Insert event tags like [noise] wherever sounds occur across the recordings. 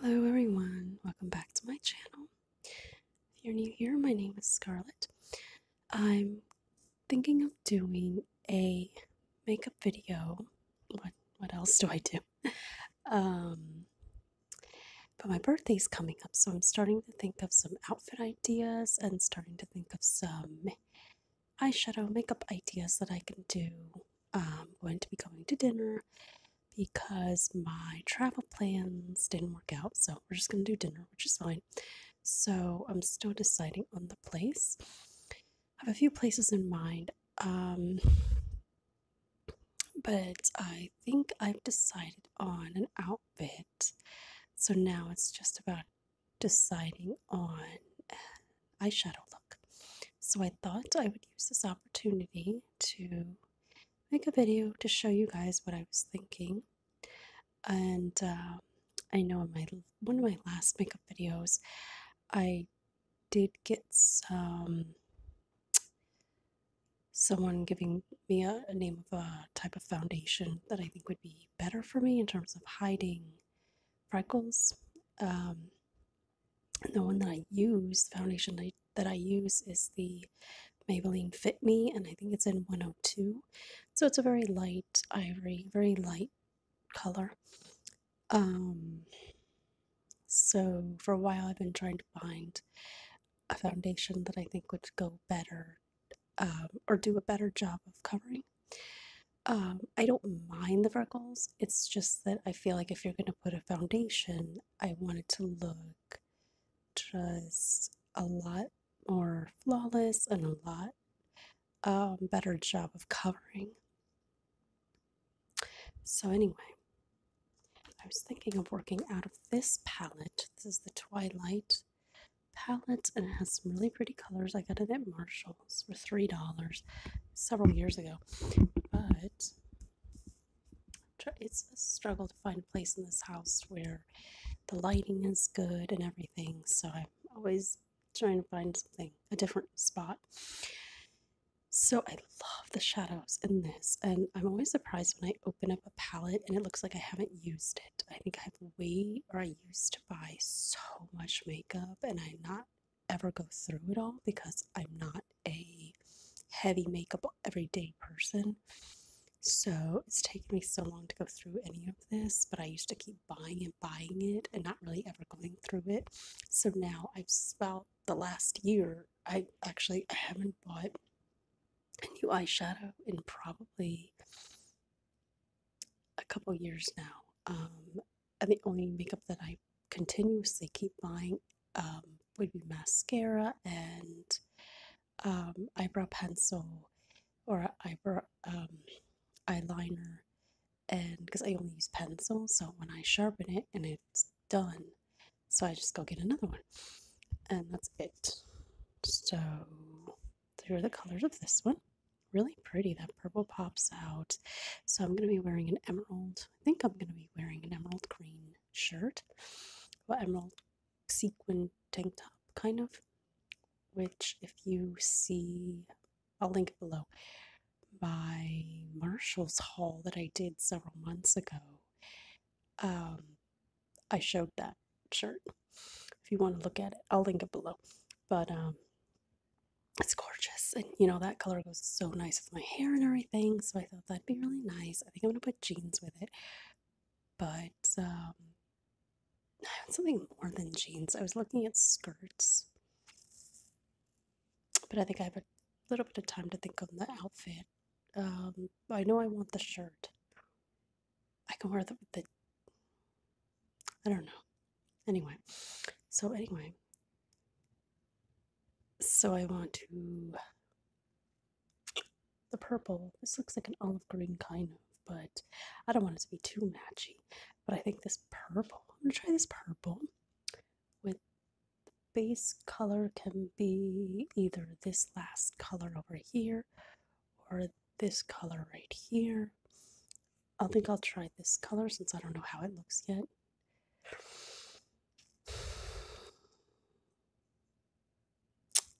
Hello everyone, welcome back to my channel. If you're new here, my name is Scarlett. I'm thinking of doing a makeup video. What what else do I do? [laughs] Um, but my birthday's coming up, so I'm starting to think of some outfit ideas and starting to think of some eyeshadow makeup ideas that I can do I'm um, going to be going to dinner because my travel plans didn't work out. So we're just going to do dinner, which is fine. So I'm still deciding on the place. I have a few places in mind, um, but I think I've decided on an outfit. So now it's just about deciding on eyeshadow look. So I thought I would use this opportunity to make a video to show you guys what I was thinking. And um, I know in my one of my last makeup videos, I did get some someone giving me a, a, name of a type of foundation that I think would be better for me in terms of hiding freckles. Um, the one that I use, the foundation that I use is the Maybelline Fit Me, and I think it's in 102. So it's a very light ivory, very light color. Um, so for a while, I've been trying to find a foundation that I think would go better um, or do a better job of covering. Um, I don't mind the freckles. It's just that I feel like if you're going to put a foundation, I wanted to look just a lot more flawless and a lot um, better job of covering. So, anyway, I was thinking of working out of this palette. This is the Twilight palette and it has some really pretty colors. I got it at Marshall's for $3 several years ago. But it's a struggle to find a place in this house where the lighting is good and everything. So I'm always trying to find something, a different spot. So I love the shadows in this, and I'm always surprised when I open up a palette and it looks like I haven't used it. I think I've way or I used to buy so much makeup, and I'm not ever go through it all because I'm not a heavy makeup everyday person. So it's taken me so long to go through any of this, but I used to keep buying and buying it and not really ever going through it. So now I've about the last year, I actually I haven't bought a new eyeshadow in probably a couple years now. Um, and the only makeup that I continuously keep buying um, would be mascara and um, eyebrow pencil or eyebrow um, eyeliner and because I only use pencil so when I sharpen it and it's done so I just go get another one and that's it so here are the colors of this one really pretty that purple pops out so I'm gonna be wearing an emerald I think I'm going to be wearing an emerald green shirt, or emerald sequin tank top, kind of. Which, if you see, I'll link it below, by Marshall's haul that I did several months ago, um, I showed that shirt. If you want to look at it, I'll link it below. But um, it's gorgeous, and you know that color goes so nice my hair and everything, so I thought that'd be really nice. I think I'm gonna put jeans with it, but um, I want something more than jeans. I was looking at skirts, but I think I have a little bit of time to think on the outfit. Um, I know I want the shirt. I can wear the I don't know. Anyway, so anyway, so I want to. The purple, this looks like an olive green kind of, but I don't want it to be too matchy. But I think this purple, I'm gonna try this purple with the base color can be either this last color over here or this color right here. I think I'll try this color since I don't know how it looks yet.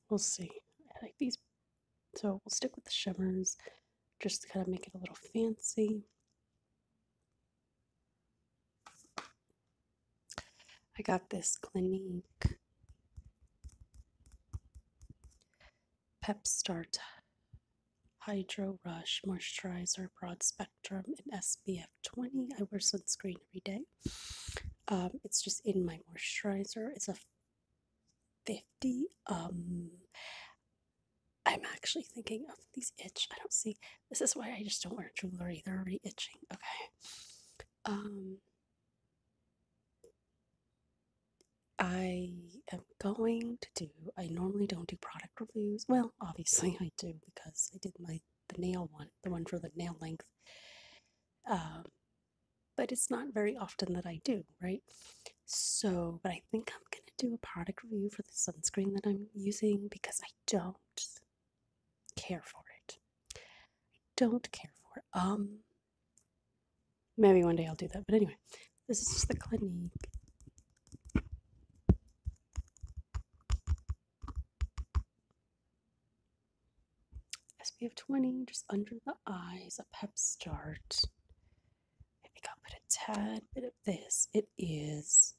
We'll see. I like these. So we'll stick with the shimmers just to kind of make it a little fancy. I got this Clinique Pep Start Hydro Rush Moisturizer Broad Spectrum spectrum and SPF 20. I wear sunscreen every day. Um, it's just in my moisturizer. It's a 50. Um, I'm actually thinking of these itch. I don't see. This is why I just don't wear jewelry. They're already itching. Okay. Um, I am going to do, I normally don't do product reviews. Well, obviously [laughs] I do because I did my the nail one, the one for the nail length. Um, but it's not very often that I do, right? So, but I think I'm gonna do a product review for the sunscreen that I'm using because I don't care for it. I don't care for it. Um, maybe one day I'll do that, but anyway, this is just the Clinique SPF 20, just under the eyes, a pep start. I think I'll put a tad bit of this. It is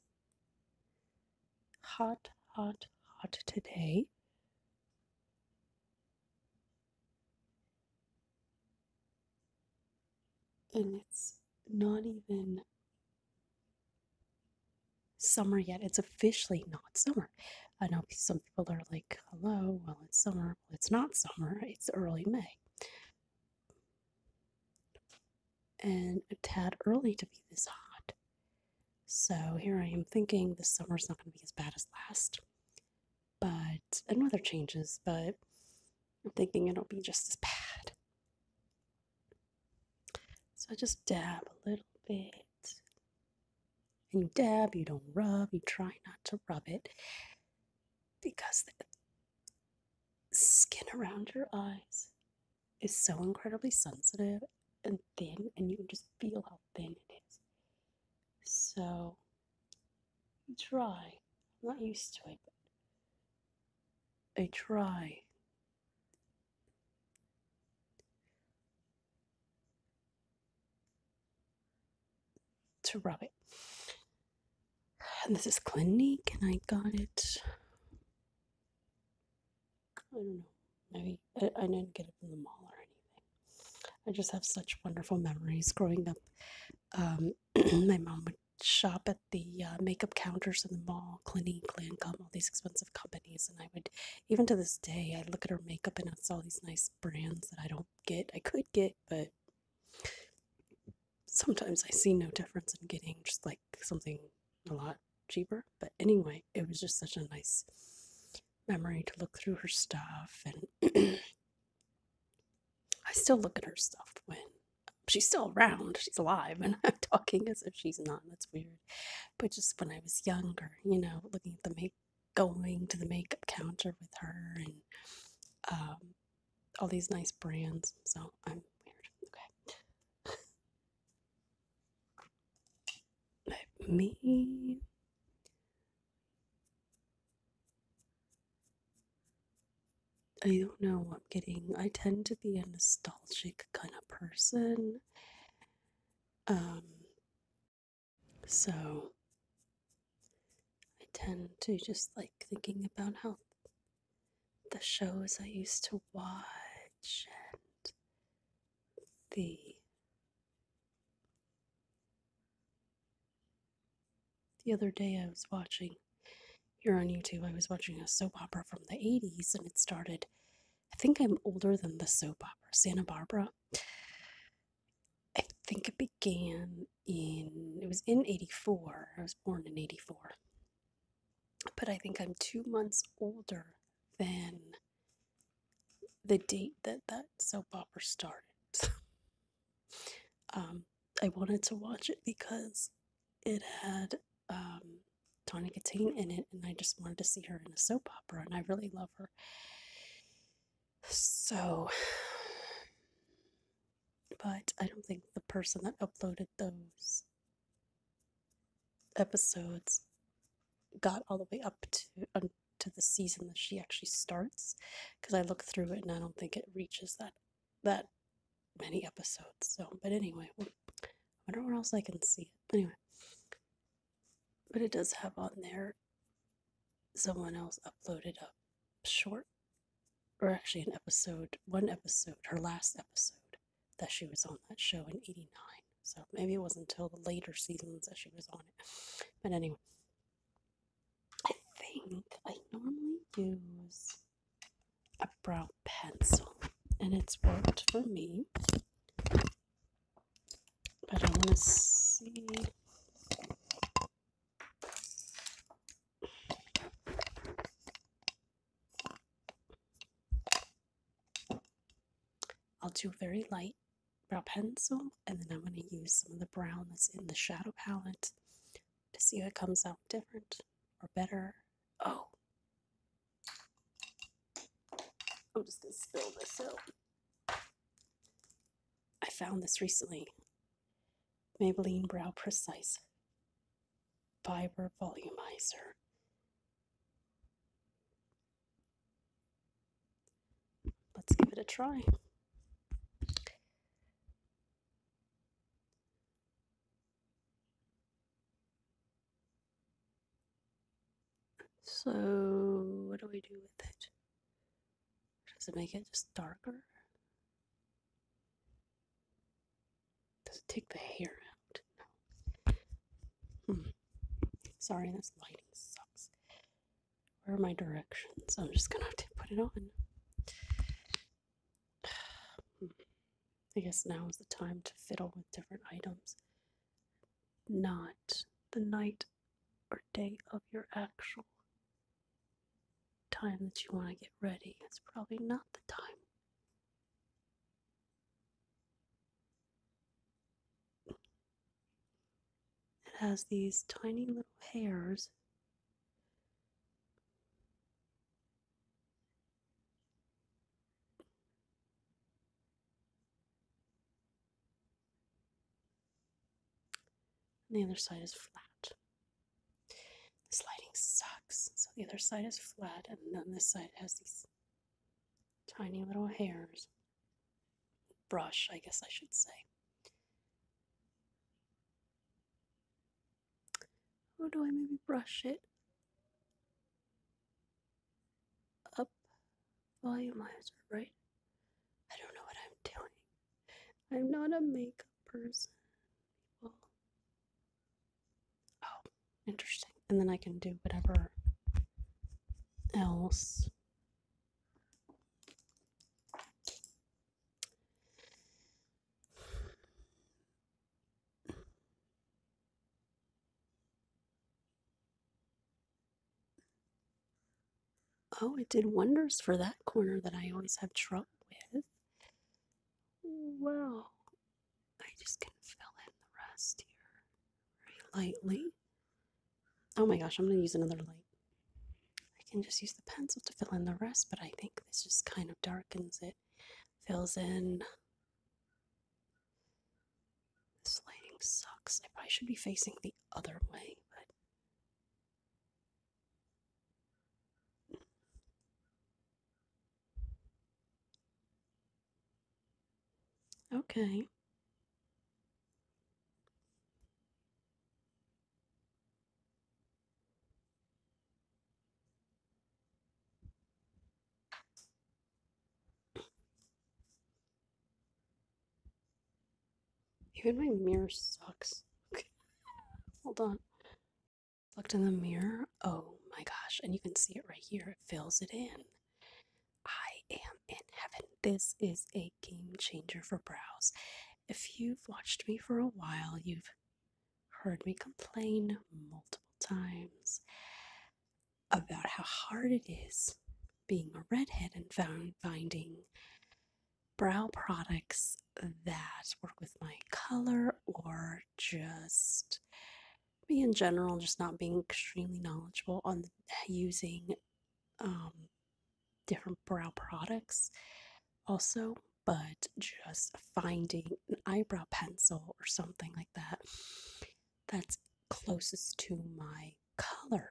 hot, hot, hot today. And it's not even summer yet. It's officially not summer. I know some people are like, hello, well, it's summer. Well, it's not summer, it's early May. And a tad early to be this hot. So here I am thinking this is not going to be as bad as last. But, and weather changes, but I'm thinking it'll be just as bad. So I just dab a little bit. And you dab, you don't rub, you try not to rub it because the skin around your eyes is so incredibly sensitive and thin, and you can just feel how thin it is. So you try. I'm not used to it, but I try to rub it. And this is Clinique, and I got it. I don't know. Maybe I, didn't get it in the mall or anything. I just have such wonderful memories growing up. Um, [clears throat] my mom would shop at the uh, makeup counters in the mall, Clinique, Lancome, all these expensive companies. And I would, even to this day, I look at her makeup and it's all these nice brands that I don't get. I could get, but sometimes I see no difference in getting just like something a lot cheaper. But anyway, it was just such a nice memory to look through her stuff. And [clears throat] I still look at her stuff when she's still around. She's alive, and [laughs] I'm talking as if she's not. That's weird. But just when I was younger, you know, looking at the make, going to the makeup counter with her, and um, all these nice brands. So I'm weird. Okay. Let me. I don't know. I'm getting. I tend to be a nostalgic kind of person. Um. So. I tend to just like thinking about how the shows I used to watch and the the other day I was watching here on YouTube, I was watching a soap opera from the 80s and it started. I think I'm older than the soap opera, Santa Barbara. I think it began in, it was in 84. I was born in 84. But I think I'm two months older than the date that that soap opera started. [laughs] um, I wanted to watch it because it had um, Donna Katane in it, and I just wanted to see her in a soap opera, and I really love her. So, [sighs] but I don't think the person that uploaded those episodes got all the way up to um, to the season that she actually starts, because I looked through it and I don't think it reaches that that many episodes. So, but anyway, I wonder where else I can see it. Anyway, but it does have on there someone else uploaded a short, or actually an episode, one episode, her last episode that she was on that show in 89. So maybe it wasn't until the later seasons that she was on it. But anyway, I think I normally use a brown pencil, and it's worked for me. But I want to see. I'll do a very light brown pencil and then I'm going to use some of the brown that's in the shadow palette to see what comes out different or better. Oh. I'm just going to spill this out. I found this recently. Maybelline Brow Precise Fiber Volumizer. Let's give it a try. So, what do we do with it? Does it make it just darker? Does it take the hair out? No. Hmm. Sorry, this lighting sucks. Where are my directions? I'm just gonna have to put it on. I guess now is the time to fiddle with different items, not the night or day of your actual time that you want to get ready. It's probably not the time. It has these tiny little hairs the other side is flat. This lighting sucks. So the other side is flat, and then this side has these tiny little hairs. Brush, I guess I should say. Or do I maybe brush it up? Volumizer, right? I don't know what I'm doing. I'm not a makeup person. oh, interesting. And then I can do whatever else. Oh, it did wonders for that corner that I always have trouble with. Wow. I just can fill in the rest here very lightly. Oh my gosh, I'm going to use another light. I can just use the pencil to fill in the rest, but I think this just kind of darkens it fills in. This lighting sucks. I probably should be facing the other way, but. Okay. Even my mirror sucks. [laughs] Hold on. Looked in the mirror. Oh my gosh. And you can see it right here. It fills it in. I am in heaven. This is a game changer for brows. If you've watched me for a while, you've heard me complain multiple times about how hard it is being a redhead and finding brow products that work with my color or just me in general just not being extremely knowledgeable on using um, different brow products also but just finding an eyebrow pencil or something like that that's closest to my color.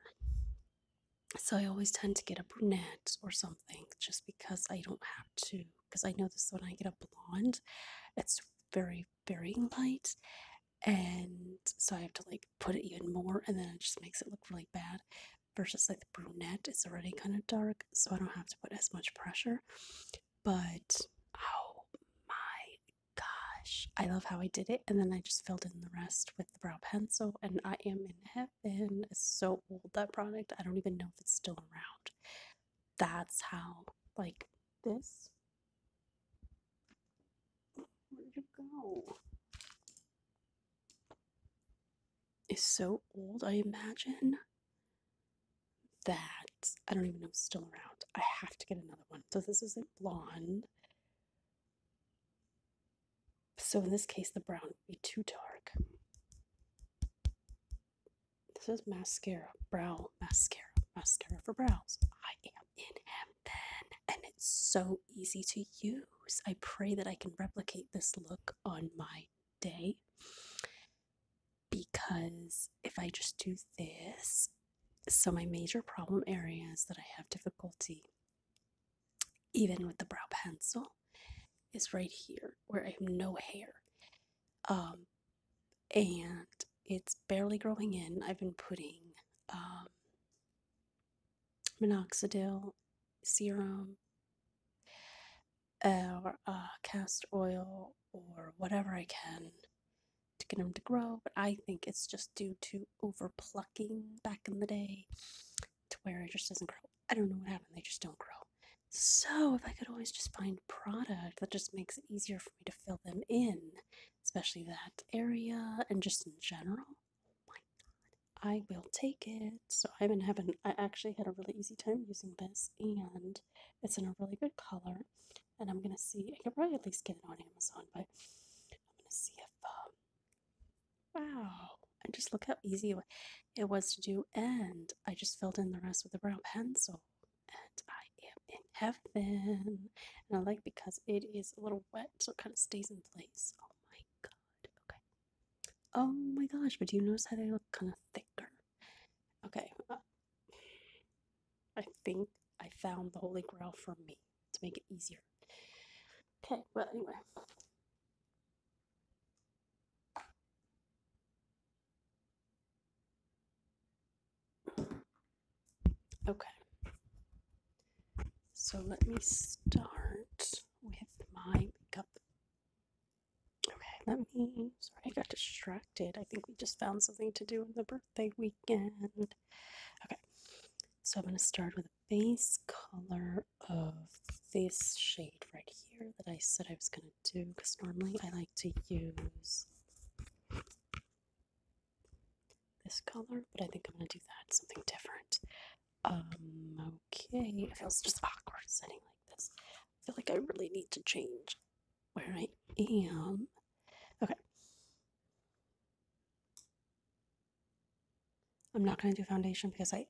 So I always tend to get a brunette or something just because I don't have to. Because I know this when I get a blonde, it's very, very light. And so I have to like put it even more and then it just makes it look really bad. Versus like the brunette is already kind of dark, so I don't have to put as much pressure but oh my gosh. I love how I did it. And then I just filled in the rest with the brow pencil, and I am in heaven. so old, that product. I don't even know if it's still around. That's how, like, this. Where'd you go? Is so old, I imagine that I don't even know is still around. I have to get another one. So this isn't blonde. So in this case, the brown would be too dark. This is mascara, brow mascara, mascara for brows. I am in heaven, and it's so easy to use. I pray that I can replicate this look on my day because if I just do this, so my major problem area is that I have difficulty, even with the brow pencil, is right here where I have no hair. Um, and it's barely growing in. I've been putting um, minoxidil serum or uh, cast oil or whatever I can to get them to grow, but I think it's just due to over plucking back in the day to where it just doesn't grow. I don't know what happened, they just don't grow. So, if I could always just find product that just makes it easier for me to fill them in, especially that area and just in general, my god, I will take it. So, I've been having, I actually had a really easy time using this, and it's in a really good color, and I'm gonna see. I can probably at least get it on Amazon, but I'm gonna see if. Um, wow! And just look how easy it was to do, and I just filled in the rest with a brown pencil, and I am in heaven. And I like because it is a little wet, so it kind of stays in place. Oh my god! Okay. Oh my gosh! But do you notice how they look kind of thicker? Okay. Uh, I think I found the holy grail for me to make it easier. Okay, well, anyway. Okay. So let me start with my makeup Okay, let me. Sorry, I got distracted. I think we just found something to do in the birthday weekend. Okay, so I'm going to start with a base color of this shade right here that I said I was going to do because normally I like to use this color, but I think I'm going to do that something different. Um, okay, it feels just awkward sitting like this. I feel like I really need to change where I am. Okay. I'm not going to do foundation because I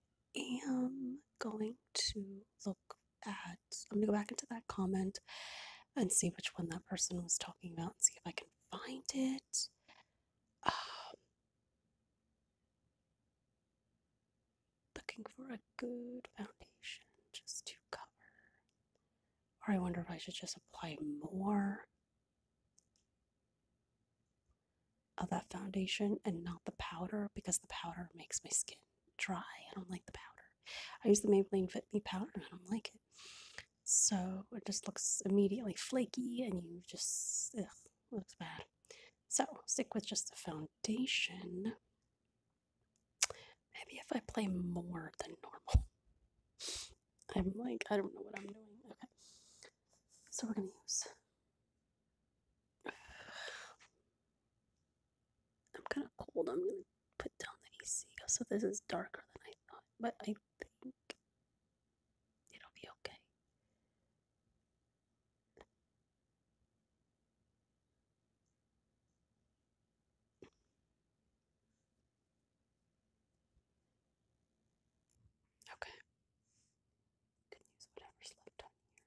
am going to look at, I'm going to go back into that comment and see which one that person was talking about and see if I can find it. Um, looking for a good foundation just to cover. Or I wonder if I should just apply more of that foundation and not the powder because the powder makes my skin dry. I don't like the powder. I use the Maybelline Fit Me powder I don't like it. So it just looks immediately flaky and you just, looks bad. So stick with just the foundation Maybe if I play more than normal. I'm like, I don't know what I'm doing. Okay. So we're going to use. [sighs] I'm kind of cold. I'm going to put down the AC. Oh, so this is darker than I thought. But I think it'll be okay. Okay. Can use whatever's left on here.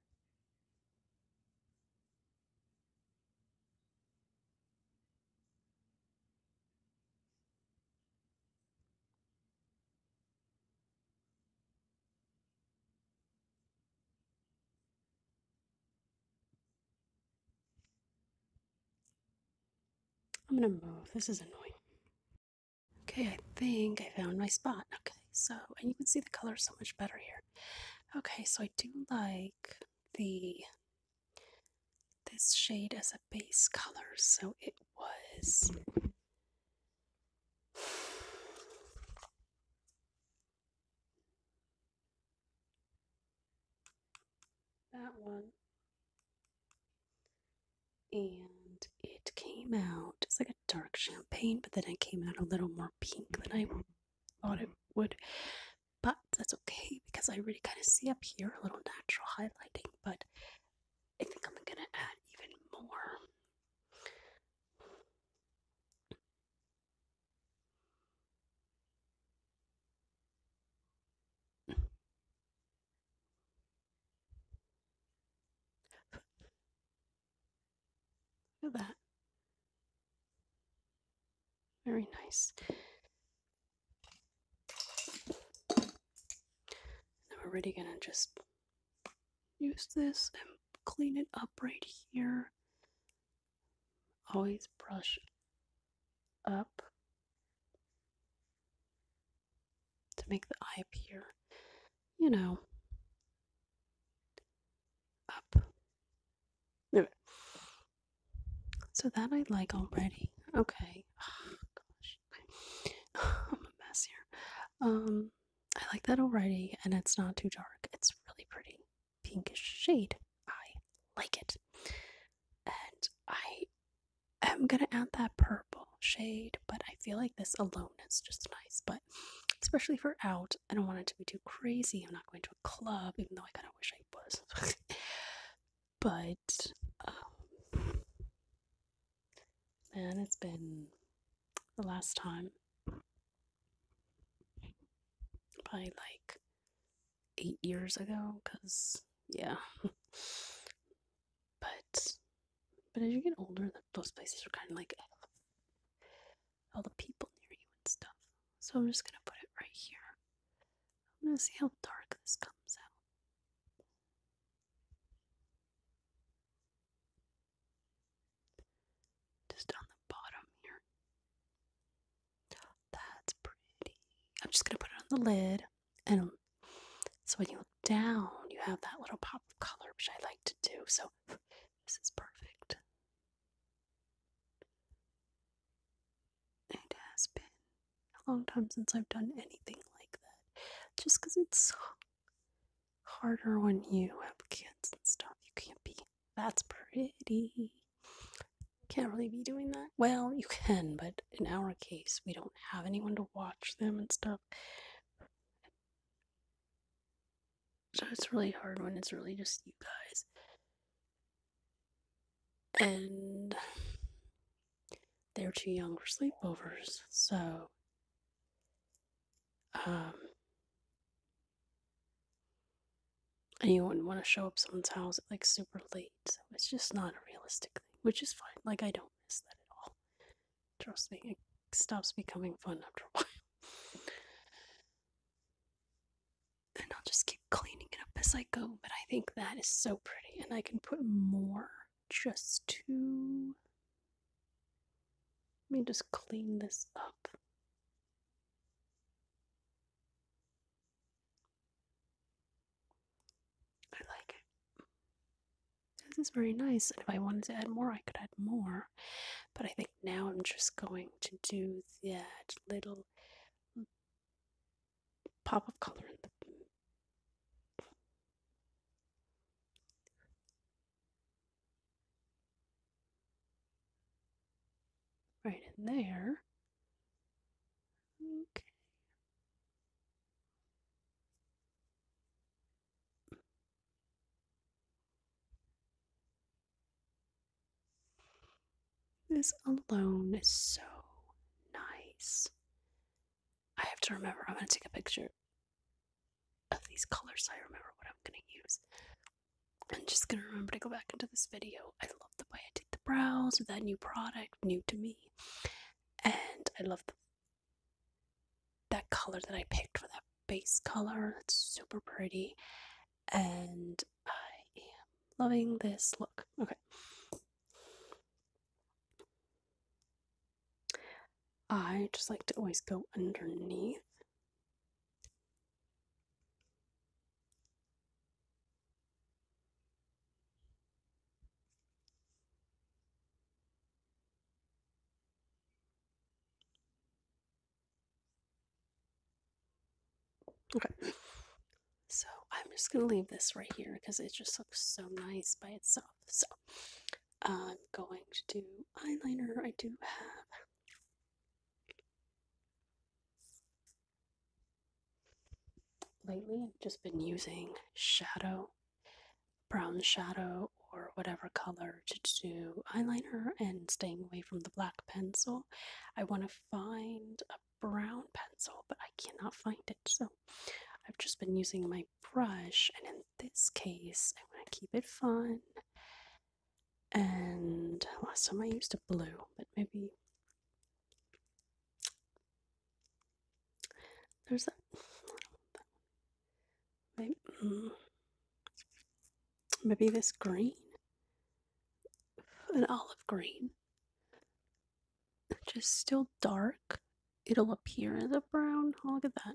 I'm gonna move. This is annoying. Okay, I think I found my spot. Okay, so, and you can see the color so much better here. Okay, so I do like the, this shade as a base color. So it was, that one. And it came out, it's like a dark champagne, but then it came out a little more pink than I thought it would. But that's okay because I really kind of see up here a little natural highlighting, but I think I'm gonna add even more. Look at that. Very nice. Now we're really gonna just use this and clean it up right here always brush up to make the eye appear, you know, up. So that I like already. Okay. [sighs] gosh. [sighs] I'm a mess here. Um, I like that already, and it's not too dark. It's really pretty pinkish shade. I like it. And I am gonna add that purple shade, but I feel like this alone is just nice. But especially for out, I don't want it to be too crazy. I'm not going to a club, even though I kind of wish I was. [laughs] but um, man, it's been the last time probably like eight years ago because yeah [laughs] but but as you get older those places are kind of like all the people near you and stuff so i'm just gonna put it right here i'm gonna see how dark this comes out just on the bottom here. That's pretty. I'm just gonna put it on the lid, and so when you look down, you have that little pop of color, which I like to do. So this is perfect. It has been a long time since I've done anything like that, just because it's harder when you have kids and stuff. You can't be that's pretty. Can't really be doing that. Well, you can, but in our case, we don't have anyone to watch them and stuff. So it's really hard when it's really just you guys. And they're too young for sleepovers, so um and you wouldn't want to show up someone's house like super late. So it's just not a realistic thing, which is fine. Like, I don't miss that at all. Trust me, it stops becoming fun after a [laughs] while. and I'll just keep cleaning it up as I go. But I think that is so pretty, and I can put more just to. Let me just clean this up I like it. This is very nice, and if I wanted to add more, I could add more. But I think now I'm just going to do that little pop of color in the Right in there. Okay. This alone is so nice. I have to remember, I'm going to take a picture of these colors I remember what I'm going to use. I'm just gonna remember to go back into this video. I love the way I did the brows with that new product, new to me, and I love that color that I picked for that base color. It's super pretty, and I am loving this look. Okay. I just like to always go underneath Okay. So I'm just going to leave this right here because it just looks so nice by itself. So I'm going to do eyeliner. I do have Lately, I've just been using shadow, brown shadow, or whatever color to do eyeliner and staying away from the black pencil. I want to find a brown pencil, but I cannot find it. So I've just been using my brush, and in this case, i want to keep it fun and last time I used a blue, but maybe there's that. Mm, maybe, this green, an olive green, just still dark. It'll appear as a brown. Oh, look at that.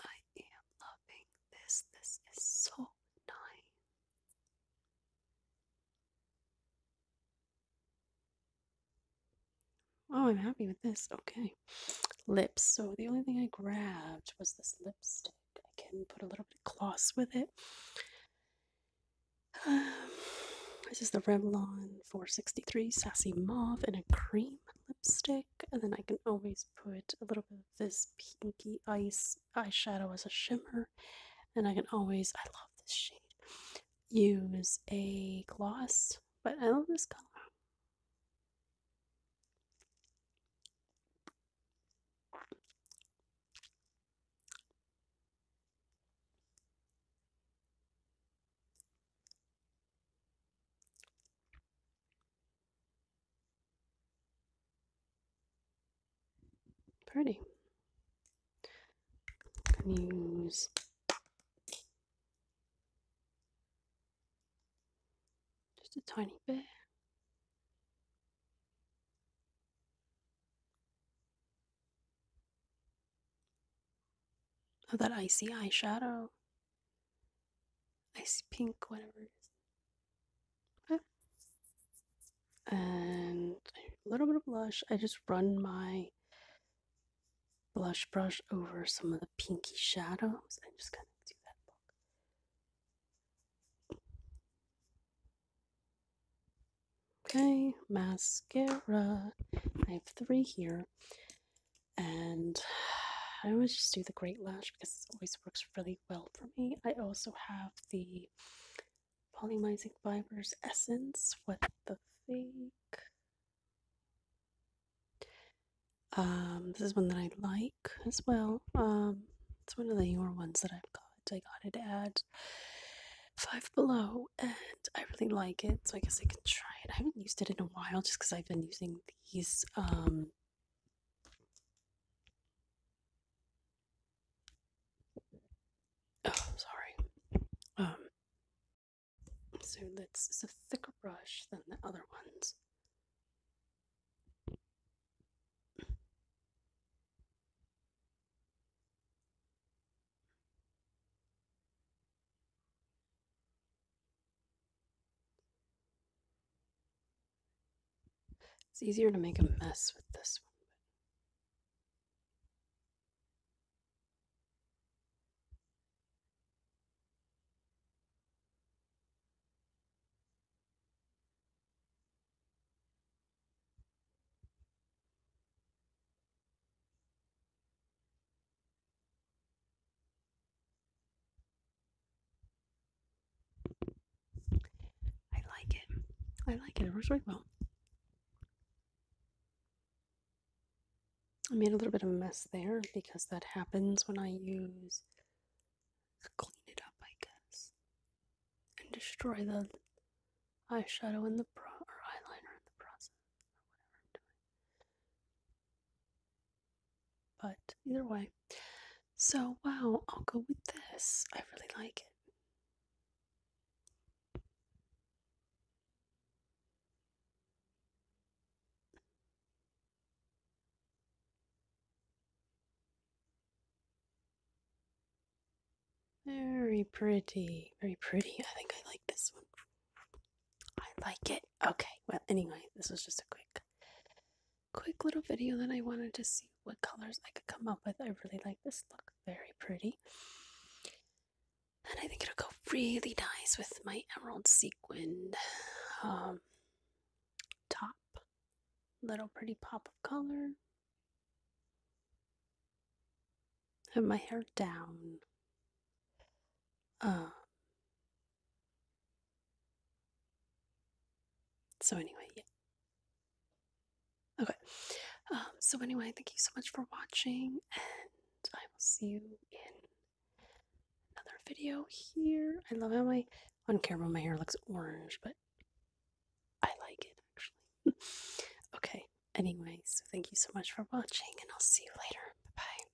I am loving this. This is so nice. Oh, I'm happy with this. Okay. Lips. So the only thing I grabbed was this lipstick. I can put a little bit of gloss with it. [sighs] this is the Revlon 463 Sassy Mauve in a cream lipstick, and then I can always put a little bit of this pinky ice eyeshadow as a shimmer, and I can always, I love this shade, use a gloss, but I love this color. Pretty. Can use just a tiny bit. of oh, that icy eyeshadow. I see pink, whatever it is. And a little bit of blush. I just run my blush brush over some of the pinky shadows and just kind of do that Okay, mascara. I have three here. And I always just do the great lash because it always works really well for me. I also have the Volumizing Fibers Essence with the fake. Um, this is one that I like as well. Um, it's one of the newer ones that I've got. I got it at Five Below and I really like it, so I guess I can try it. I haven't used it in a while just because I've been using these um, Oh, sorry. Um, so that's it's a thicker brush than the other ones. It's easier to make a mess with this one. I like it. I like it. It works really well. I made a little bit of a mess there because that happens when I use clean it up, I guess, and destroy the eyeshadow and the pro or eyeliner in the process but either way. So, wow, I'll go with this. I really like it. Very pretty, very pretty. I think I like this one I like it. Okay, well, anyway, this was just a quick, quick little video that I wanted to see what colors I could come up with. I really like this look, very pretty. And I think it'll go really nice with my emerald sequined um, top. Little pretty pop of color. Have my hair down. Um, so anyway, yeah. Okay. Um, so anyway, thank you so much for watching, and I will see you in another video here. I love how my on camera my hair looks orange, but I like it actually. [laughs] okay. Anyway, so thank you so much for watching, and I'll see you later. Bye bye.